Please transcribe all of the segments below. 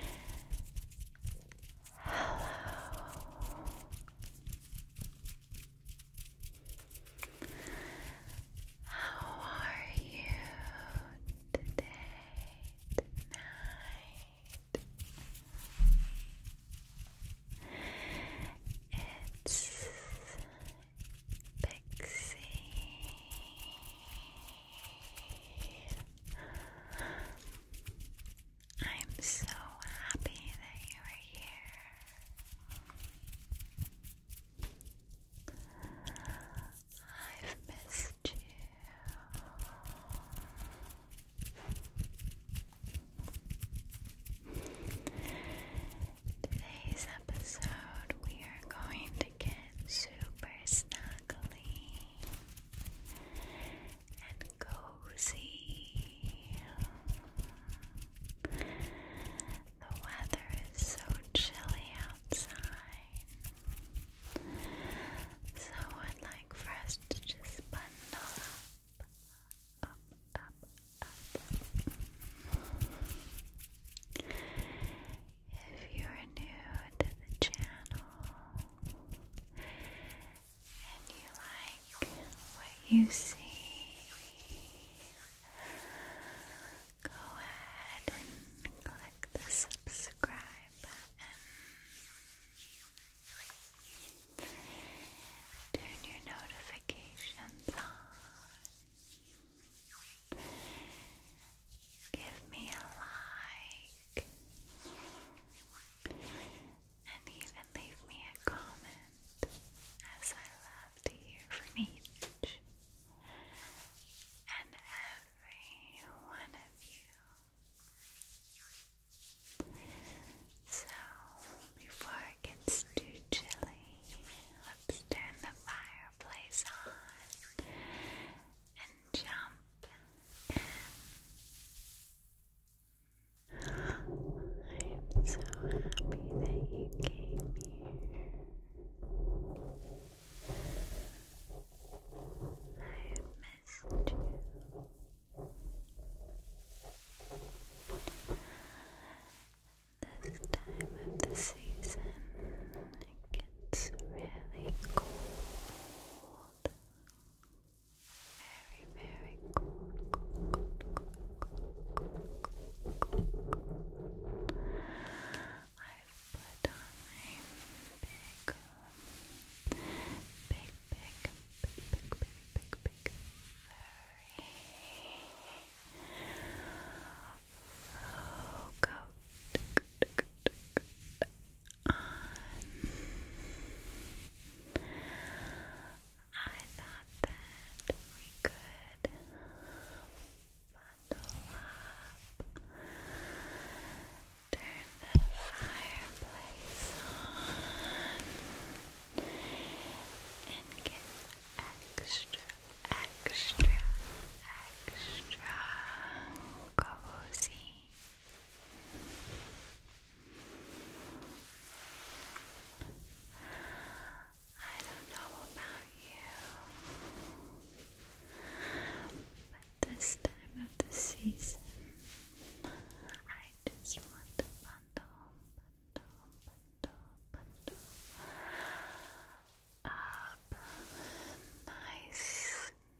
Hello. How are you today, tonight? It's Pixie. I'm so happy that you are here. I've missed you. Today's episode, we are going to get super snuggly and cozy. The weather is so chilly outside, so I'd like for us to just bundle up, up, up, up. If you're new to the channel, and you like what you see, go ahead and click the subscribe button. Turn your notifications on. Give me a like like and even leave me a comment as I love to hear from each and every one of you. So, before it gets too chilly, let's turn the fireplace on and jump I'm so happy that you came here. i missed you. This time of the season, it gets really cold. Very, very cold, cold, cold, cold, cold, cold. I've put on my big, big, big, big, big, big, big, big, furry faux coat on. I thought that we could bundle up, turn the fireplace on, and get extra, extra, extra cozy. I don't know about you, but this time of the season, I just want to bundle, bundle, bundle, bundle up nice,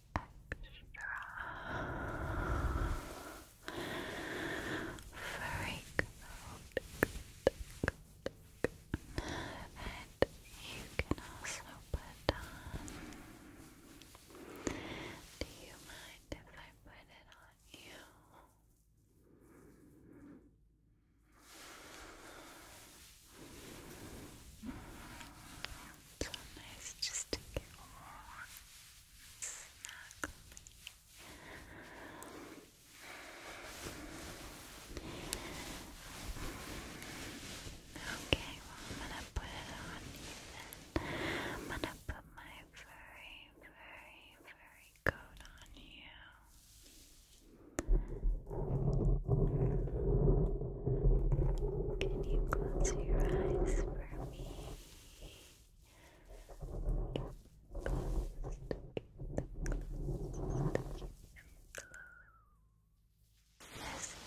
extra freak and you can also put on do you mind if I put it on you? So nice just to get warm. Okay, I'm gonna put it on you I'm gonna put my very, very, very coat on you. Can you close your eyes for me? This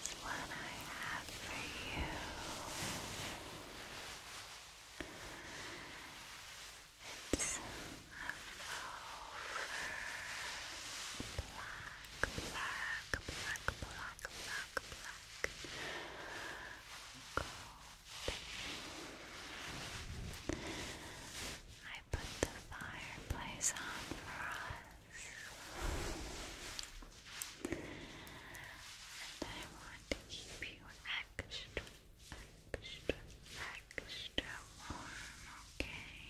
is what I have for you. It's a Black, black, black, black, black, black cold. I put the fireplace on for us, and I want to keep you extra, extra, extra warm, okay?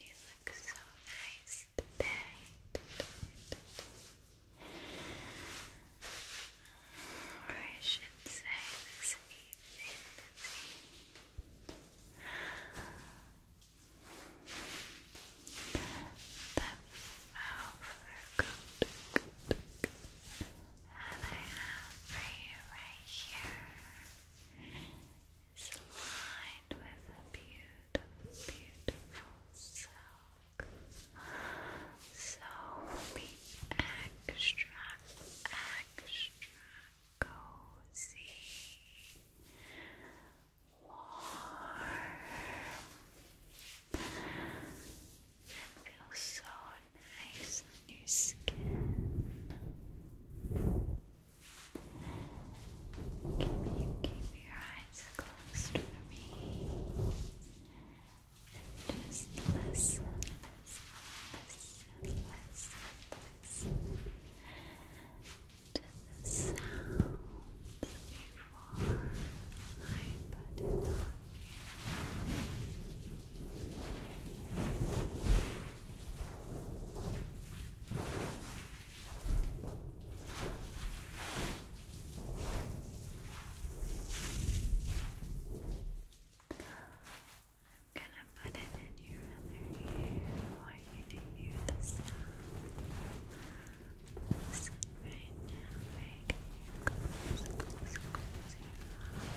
You look so nice just Or I should say this evening. that I have for you right here is lined with beautiful, beautiful silk. So extra, extra cozy, warm, and feels so nice on your skin. Can you keep your eyes closed for me? And just listen, listen, listen, listen to the sounds before I put it on I'm gonna put it in your other ear. I want you to hear the sound. Listen right now, right? Close, close, close your eyes.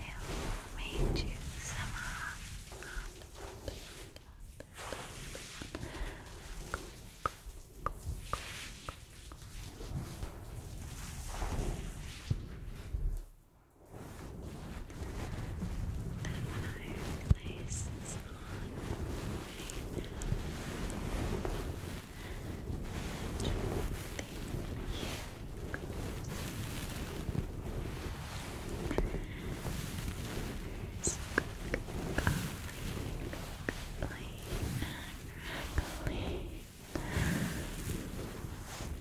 I've made you somehow. Good places on right now. Clean, clean, clean.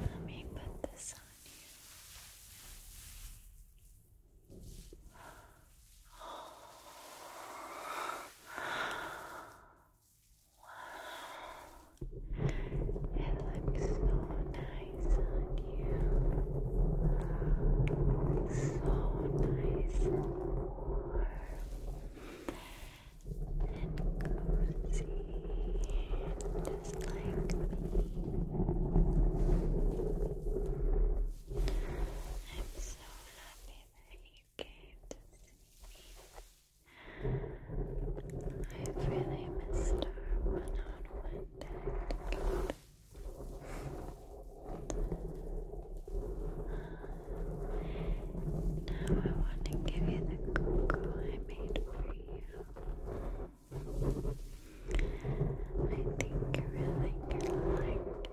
Let me put this on you. Wow. It looks so nice on you. So nice and cozy, just like me so happy that you came to see me. I've really missed our one-on-one time Now I want to give you the cocoa I made for you. I think you really like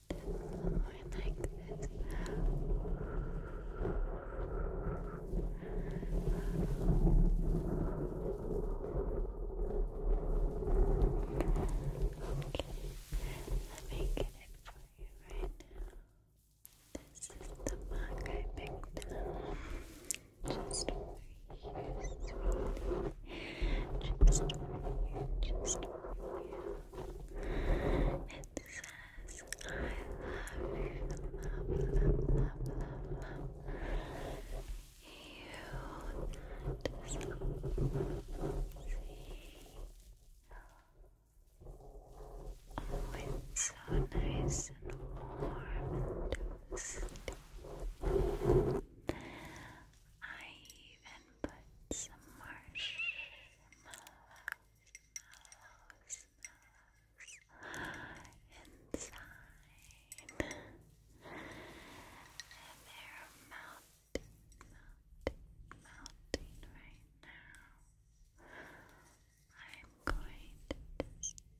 this Okay, let me get it for you right now. This is the mark I picked Just over here, Just over here, just over here. It says, I love you, love, love, love, love, You it's so nice and warm and toasty. I even put some marshmallows, inside. And they're melting, melting, melting right now. I'm going to cool it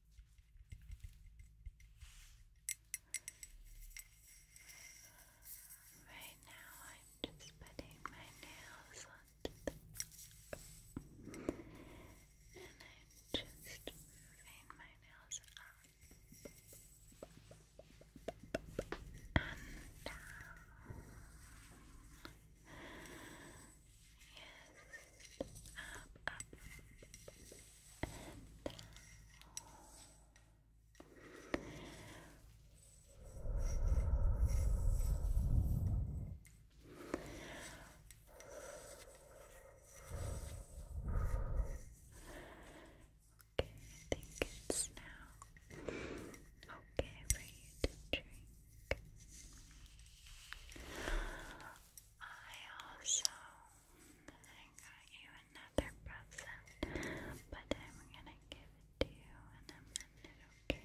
Right now, I'm just putting my nails onto and I'm just moving my nails up and down. Yes, up, up, Okay, I think it's now okay for you to drink. I also I got you another present, but I'm gonna give it to you in a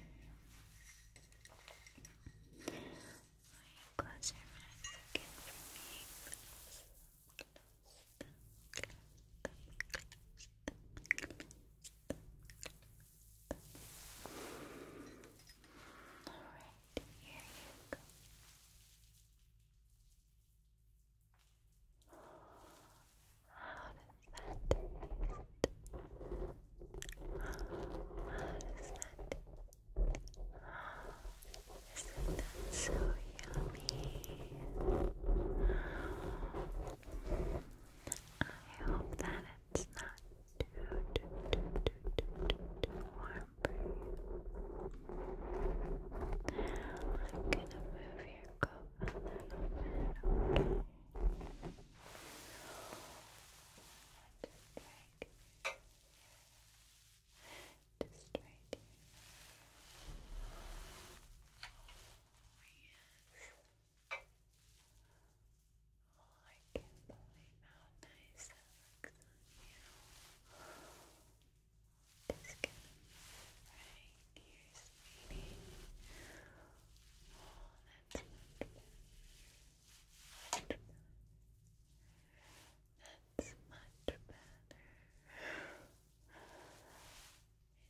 minute, okay? close your eyes again for me? Alright, here you go. Isn't that so yummy? I hope that it's not too, too, too, too, too, too warm I'm gonna move your cup a little bit, okay? Just right here. Just right here. Oh, yes. Oh, I can't believe how nice that looks on you. Just going right here, sweetie. Oh, that's much better. That's much better.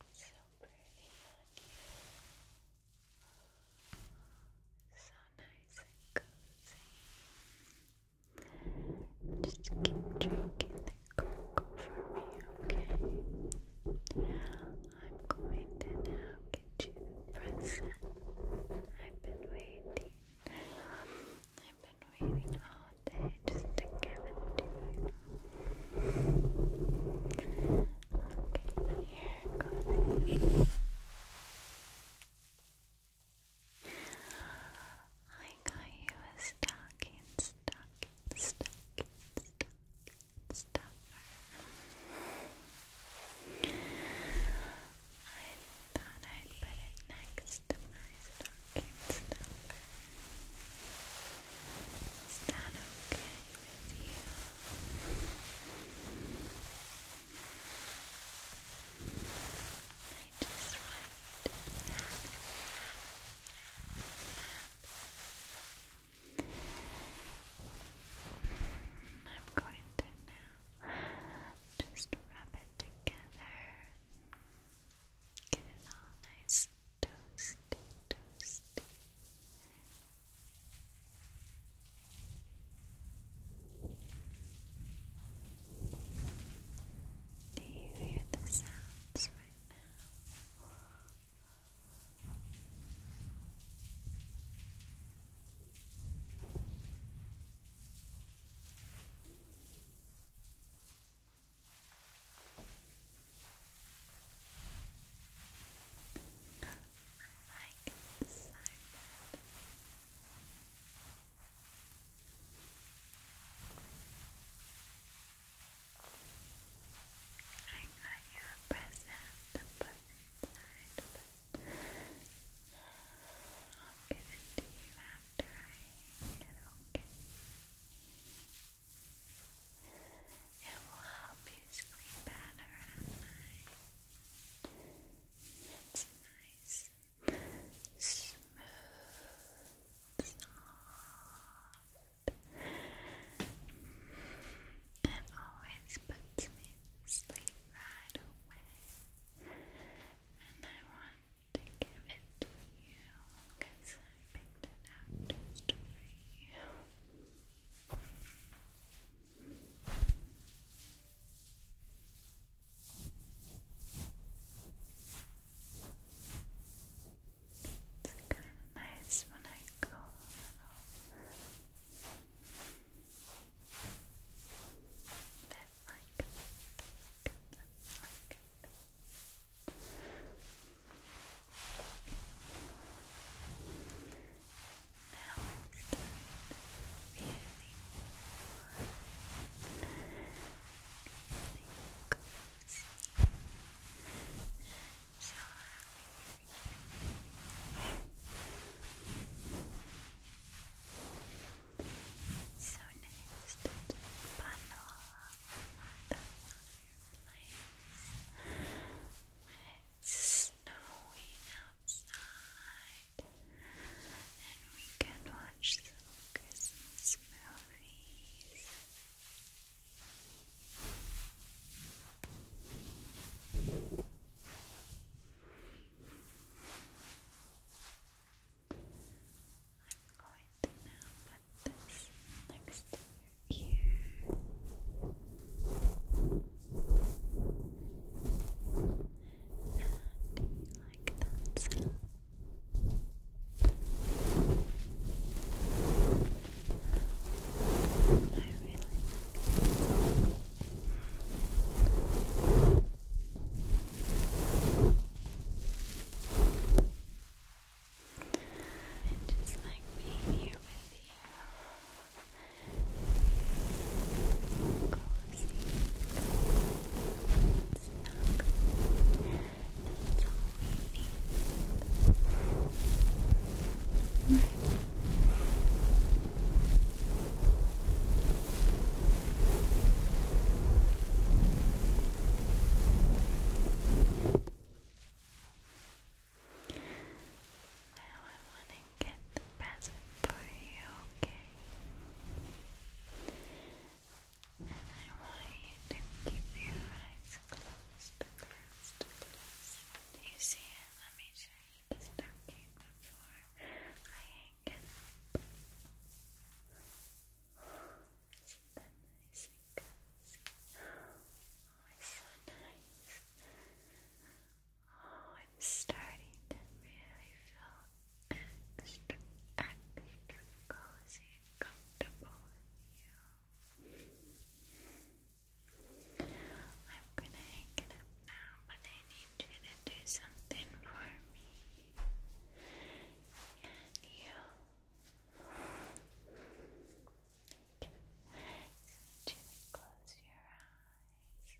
It's so pretty on you. So nice and cozy. Just keep drinking the cocoa for me, okay? I'm going to now get you present. I've been waiting. I've been waiting all day just to give it to you. Okay, here, go I got you a stocking, stuffer. I thought I'd put it next to my stocking stuffer. Is that okay with you? just right. I'm going to now just rub it together. Get it all nice toasty, toasty. Do you hear the sounds right now? I like this I got you a present, but I'll give it to you after I get okay. It will help you sleep better at night. It's nice smooth, soft. always puts me right away, and I want to give it to you because I picked it out just for you. It's kind of nice when I go a little like like Now it's really warm so so next, bundle the It's snowing outside, and we can watch the Christmas movies worries. I'm going to now put this next to your ear. do you like that and just like being here with you. Cozy, snug, that's Now I want to get the present for you, okay? I want you to keep your eyes closed, closed, Do you see it? Let me show you the stocking before I hang up. it's so nice. Oh, I'm starting to really feel extra, extra cozy comfortable with you. I'm gonna hang up now, but I need you to do something for me. you. Okay. Close your eyes.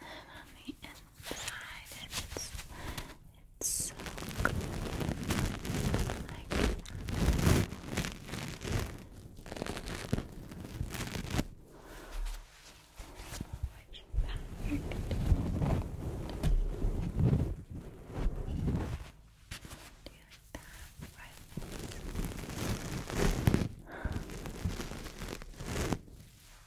and on the inside it's it's so good. Like that. Which perfect. Do you like that?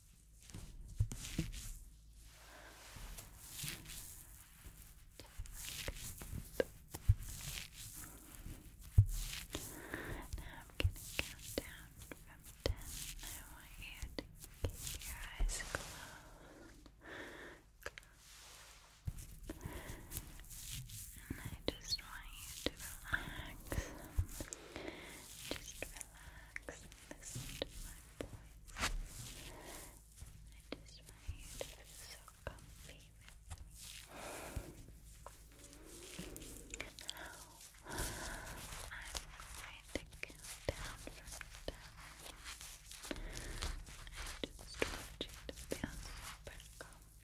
Now I'm going to count down from ten. I want you to keep your eyes closed. And I just want you to relax. Just relax relax listen to my voice. I just you so comfy with me. I'm going to count down from ten. just want to feel super comfortable and relaxed. Then close your eyes.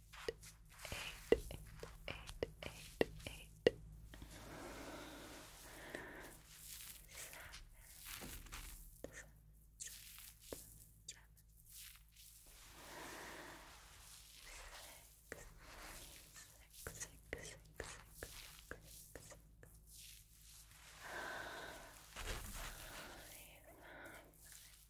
eight, eight, eight, eight, seven, seven, seven, seven. Six, six, six, six, six, six, six. Five, five, five, five,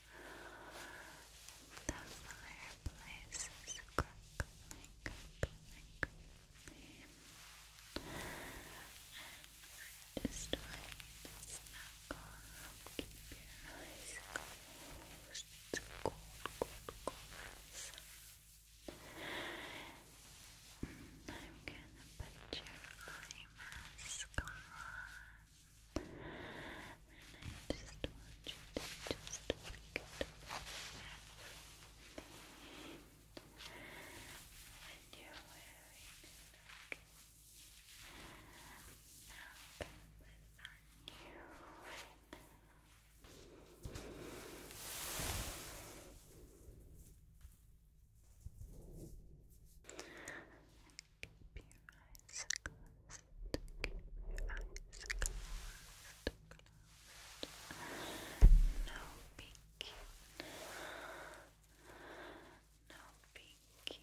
The fireplace is crackling, And just trying to snuggle up, keep your eyes closed. It's cold, cold, cold I'm gonna put your eye on. And I just want you to just look at when you're wearing it, Now put you right now. Keep your eyes No peeking. No peeking. No peeking. Don't peek, Don't peek.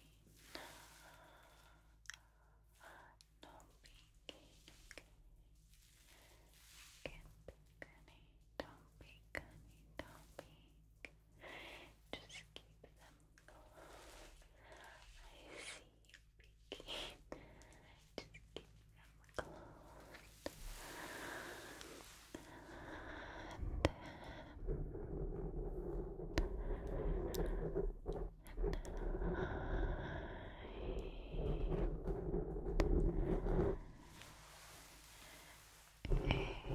Just keep them closed begin. Just keep them closed. And then, and